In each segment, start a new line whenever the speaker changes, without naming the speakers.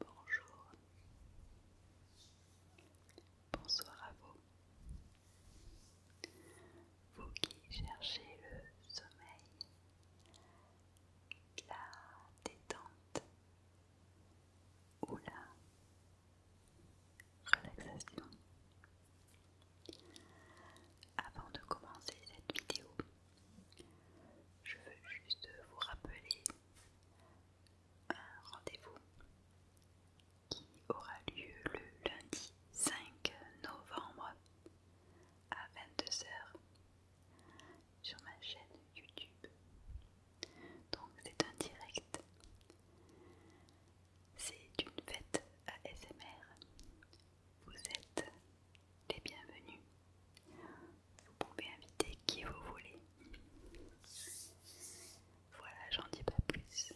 Bonjour. Bonsoir à vous. Vous qui cherchez le sommeil, la détente ou la relaxation. Avant de commencer cette vidéo, je veux juste vous rappeler un rendez-vous qui aura lieu le lundi 5 novembre à 22h sur ma chaîne YouTube. Donc c'est un direct. C'est une fête ASMR vous êtes les bienvenus. Vous pouvez inviter qui vous voulez. Voilà, j'en dis pas plus.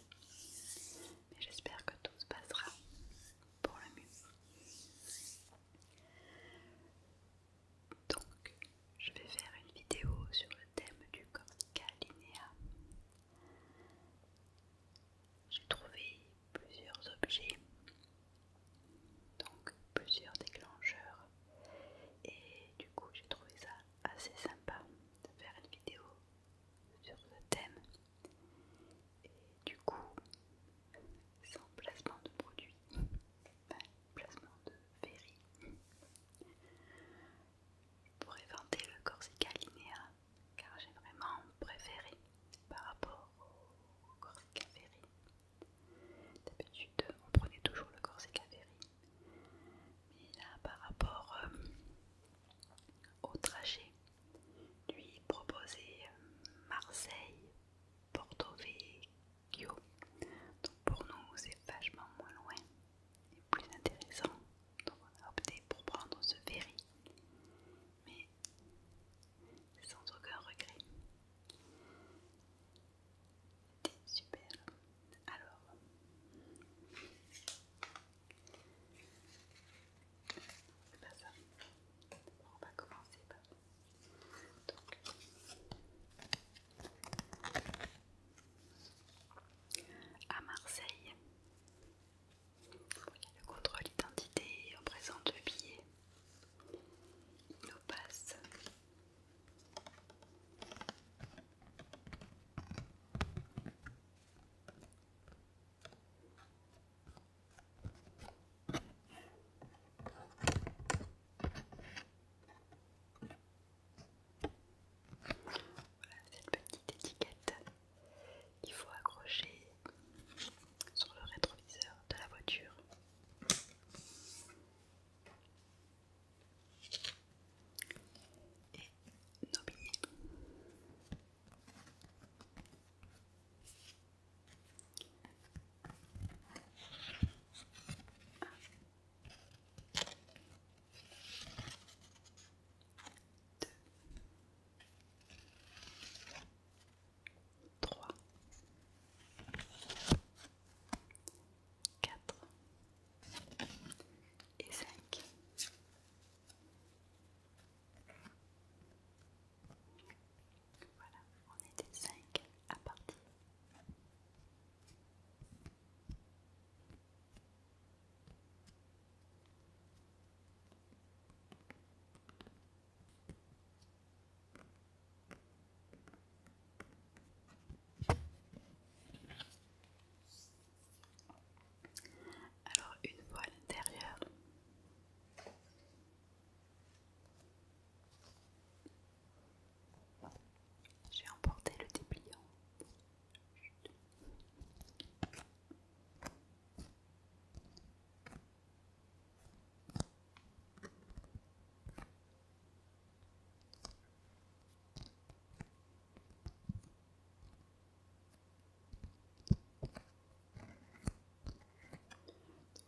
Mais j'espère que tout se passera pour le mieux. Donc, je vais faire une vidéo sur le thème du cortical J'ai trouvé plusieurs objets, donc plusieurs déclencheurs, et du coup j'ai trouvé ça assez sympa de faire une vidéo sur ce thème. Et du coup, sans placement de produit, ben, placement de ferry, pour pourrais le Corsica Linéa car j'ai vraiment préféré par rapport au Corsica Ferry. D'habitude, on prenait toujours le Corsica Ferry, mais là, par rapport euh, au trajet, lui proposait euh, Marseille, Porto Vecchio. Donc pour nous, c'est vachement moins loin et plus intéressant. Donc on a opté pour prendre ce ferry mais sans aucun regret. C'était super. Alors, ça. On va commencer par. Donc, à Marseille, le contrôle d'identité représente le billet. Il nous passe voilà cette petite étiquette il faut accrocher sur le rétroviseur de la voiture. Et nos 3 4 et 5 voilà on est des 5 à partir alors une fois à l'intérieur, j'ai emporté le dépliant.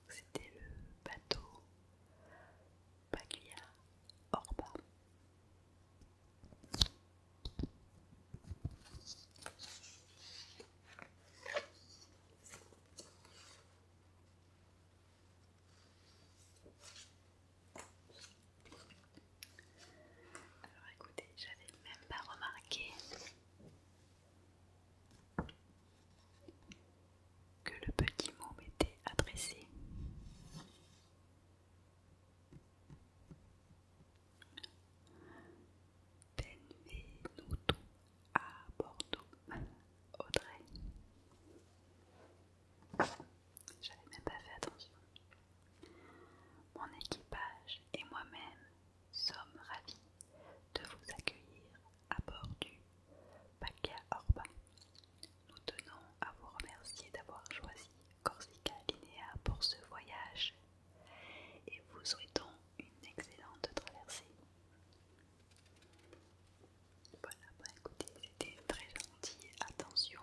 C'était le bateau Paglia Orba. Alors écoutez, j'avais même pas remarqué que le petit mot m'était adressé. Benvenuto à Bordeaux, Audrey. J'avais même pas fait attention. Mon équipage et moi-même sommes ravis de vous accueillir à bord du Paca Orba. Nous tenons à vous remercier d'avoir choisi Corsica Linea pour ce voyage et vous souhaitons une excellente traversée. Voilà, bah écoutez, c'était très gentil, attention.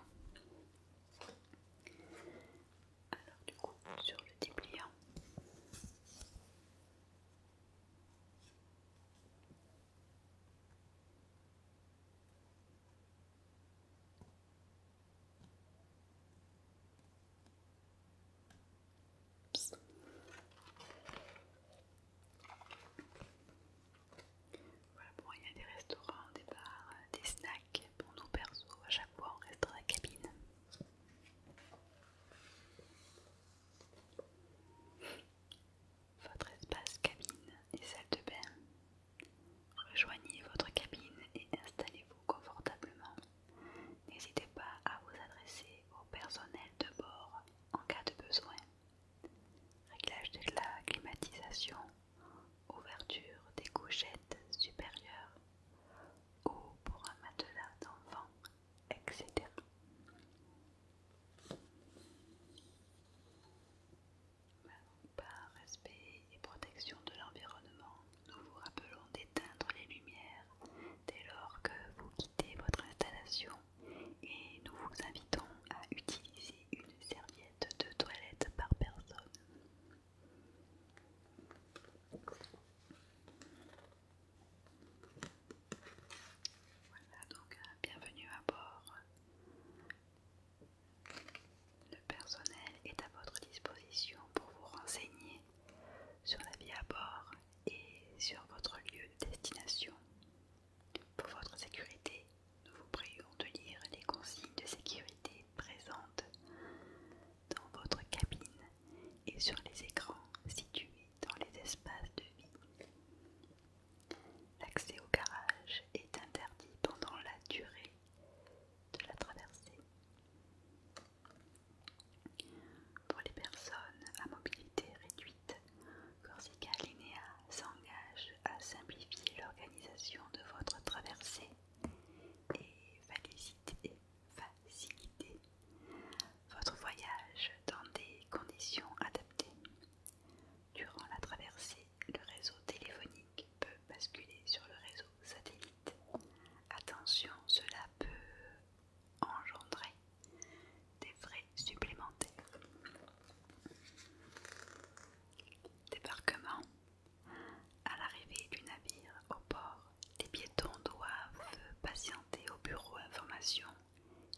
Alors du coup, sur le dépliant. Voilà, bon, il y a des restaurants, des bars, euh, des snacks pour nous perso. À chaque fois, on reste dans la cabine. Votre espace cabine et salle de bain Rejoignez votre cabine et installez-vous confortablement. N'hésitez pas à vous adresser au personnel de bord en cas de besoin. Réglage de la climatisation, ouverture des couchettes supérieures, ou pour un matelas d'enfant, etc. Par respect et protection de l'environnement, nous vous rappelons d'éteindre les lumières dès lors que vous quittez votre installation et nous vous invitons à utiliser une serviette de toilette par personne. Voilà donc hein, bienvenue à bord. Le personnel est à votre disposition pour vous renseigner sur la vie à bord et sur votre lieu de destination. Pour votre sécurité, nous vous prions de lire les consignes de sécurité présentes dans votre cabine et sur les écrans situés dans les espaces de vie. L'accès au garage est interdit pendant la durée de la traversée. Pour les personnes à mobilité réduite, Corsica Linea s'engage à simplifier l'organisation de votre traversée et faciliter, faciliter votre voyage dans des conditions adaptées. Durant la traversée, le réseau téléphonique peut basculer sur le réseau satellite. Attention, cela peut engendrer des frais supplémentaires. Débarquement. À l'arrivée du navire au port, les piétons doivent patienter au bureau information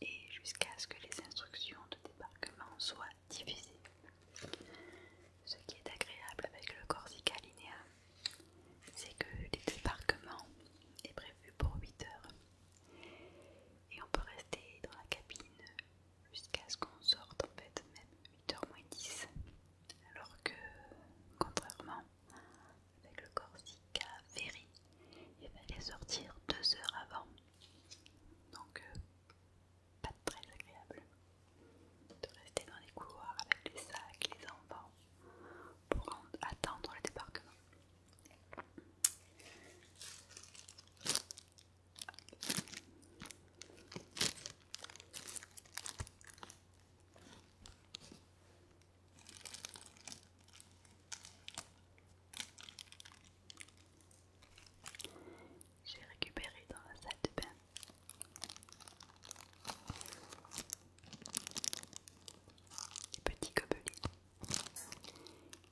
et jusqu'à ce que les instructions de débarquement soient diffuser. ce qui est agréable avec le Corsica Linea, c'est que les est prévu pour 8 h et on peut rester dans la cabine jusqu'à ce qu'on sorte en fait même 8h moins 10 alors que contrairement avec le Corsica Ferry il fallait sortir 2 heures avant donc euh, pas très agréable de rester dans les couloirs avec les sacs, les enfants pour attendre le débarquement. J'ai récupéré dans la salle de bain les petits gobelets.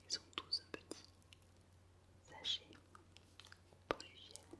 Ils sont tous un petit sachet pour l'hygiène.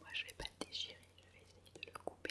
moi je vais pas déchirer, je vais essayer de le couper.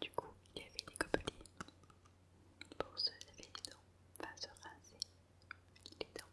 du coup, il y avait des copains. pour se laver les dents, enfin se raser. les dents.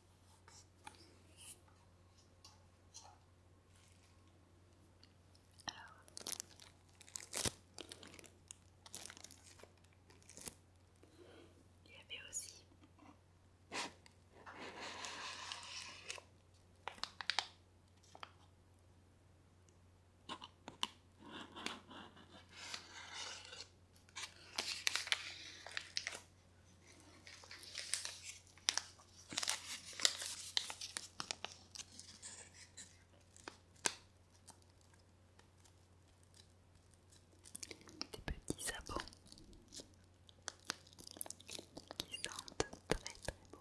Il y avait aussi des petits sabots qui sentent très très bon.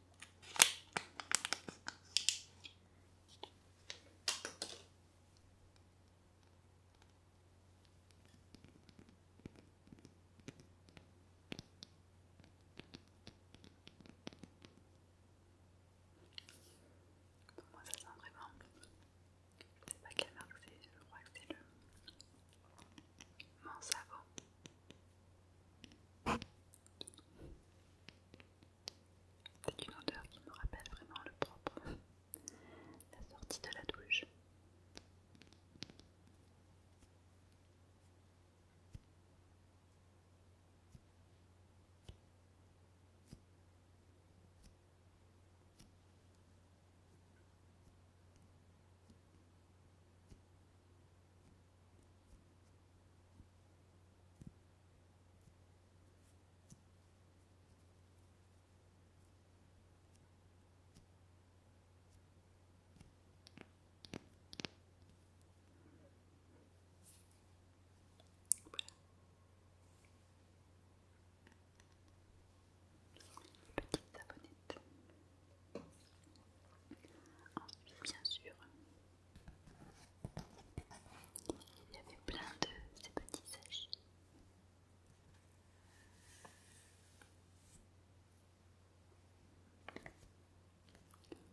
moi, ça sent vraiment pas quelle marque c'est, je crois que c'est le. C'est une odeur qui me rappelle vraiment le propre, la sortie de la douche. Voilà. Petite savonnette. Ensuite, bien sûr, il y avait plein de ces petits sachets.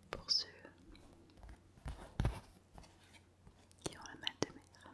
Pour ceux qui ont la mal de mer.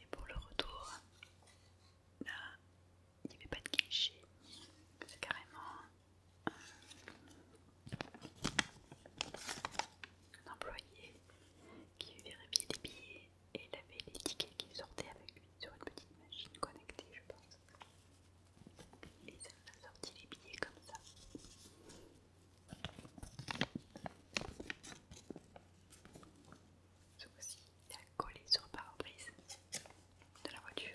Et pour le retour, là, il n'y avait pas de cliché, C'est carrément un employé qui vérifiait les billets et il avait les tickets qui sortaient avec lui sur une petite machine connectée, je pense. Et a sorti les billets comme ça. C'est aussi, il a collé sur le pare-brise de la voiture.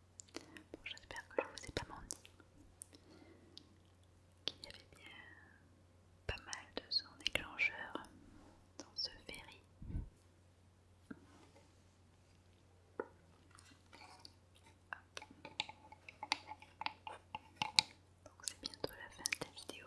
Bon, j'espère que je vous ai pas menti. Qu'il y avait bien pas mal de son déclencheur dans ce ferry. Donc c'est bientôt la fin de la vidéo.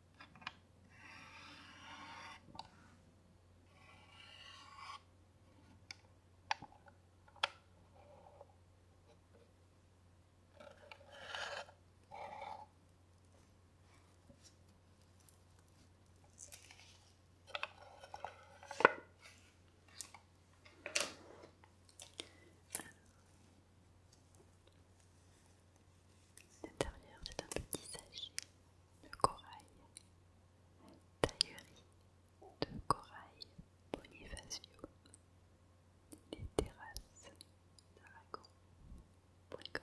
L'intérieur, c'est un petit sachet de corail, taillerie de corail Bonifacio, les terrasses d'Aragon.com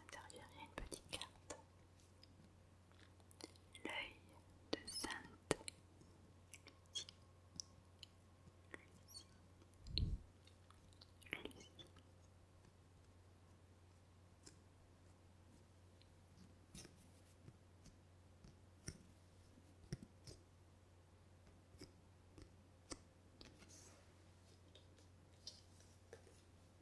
Alors, à une petite carte. L'œil de Sainte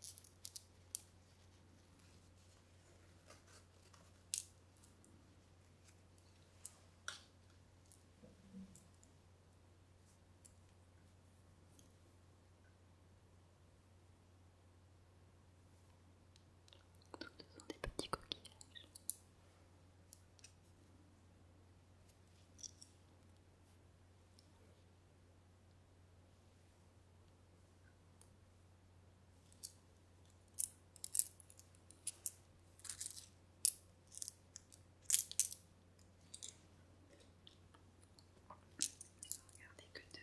sont des petits coquillages. Regardez que deux.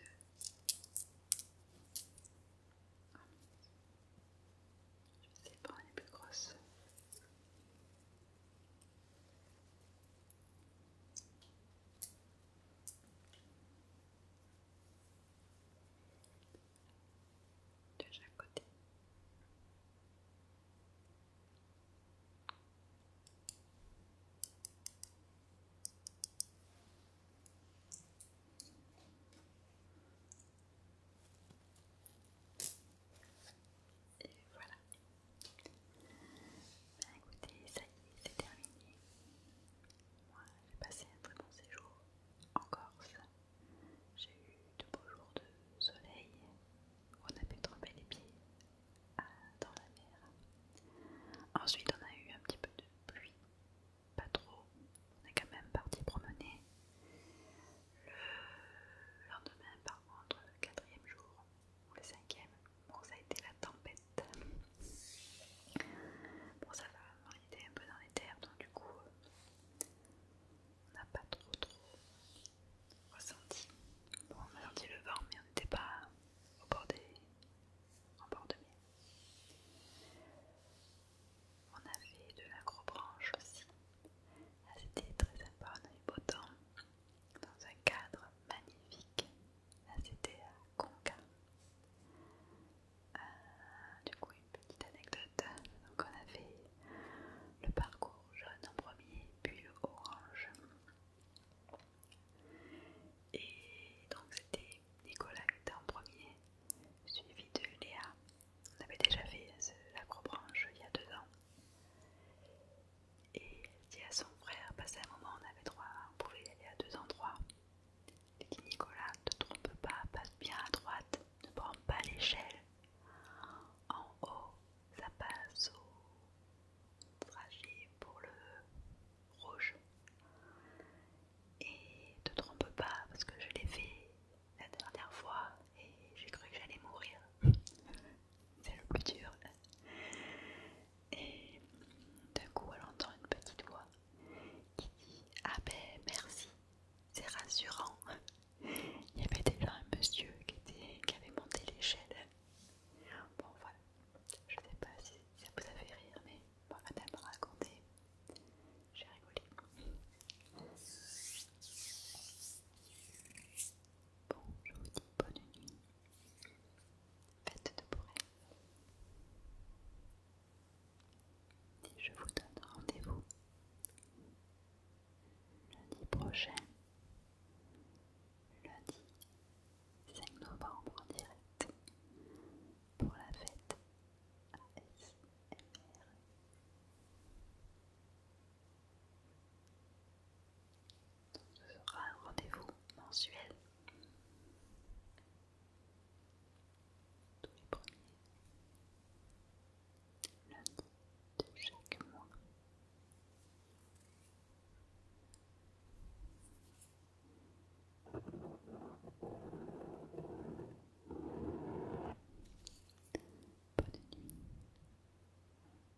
Je sais pas les plus grosses de chaque côté. Et voilà, bah écoutez, ça y est, c'est terminé. Moi, j'ai passé un très bon séjour en Corse. J'ai eu de beaux jours de soleil. On a pu tremper les pieds euh, dans la mer. Ensuite, on a eu un petit peu de pluie. Pas trop. On est quand même parti promener. Le lendemain, par contre, le quatrième jour, ou le cinquième. Bon, ça a été la tempête. Bon, ça va, on était un peu dans les terres, donc du coup, euh, on n'a pas trop trop ressenti. Bon, on a senti le vent, mais on n'était pas au bord des... en bord de mer. On avait de l'acrobranche aussi. Ah, c'était très sympa, on beau temps dans un cadre magnifique. Là, c'était à Conca. Euh, du coup, une petite anecdote. Donc, on a fait le parcours jaune en premier, puis orange. Et donc, c'était Nicolas qui était en premier, suivi de Léa. On avait déjà fait l'acrobranche il y a deux ans. Et elle dit à son frère, parce bah, qu'à un moment on avait droit, on pouvait aller à deux endroits. Il dit Nicolas, ne te trompe pas, passe bien à droite, ne prends pas l'échelle. En haut, ça passe au trajet pour le rouge. Et ne te trompe pas, parce que je l'ai fait la dernière fois et j'ai cru que j'allais mourir. C'est le plus dur. Et d'un coup, elle entend une petite voix qui dit Ah ben merci, c'est rassurant. Il y avait déjà un monsieur qui, était, qui avait monté l'échelle. Bon, voilà, je sais pas si ça vous a fait rire, mais bon, elle m'a raconté. J'ai rigolé. Bon, je vous dis bonne nuit. Faites de pour je vous donne rendez-vous lundi prochain, lundi 5 novembre direct, pour la fête ce sera un rendez-vous mensuel. Tous les premiers lundis de chaque mois. Bonne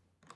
nuit.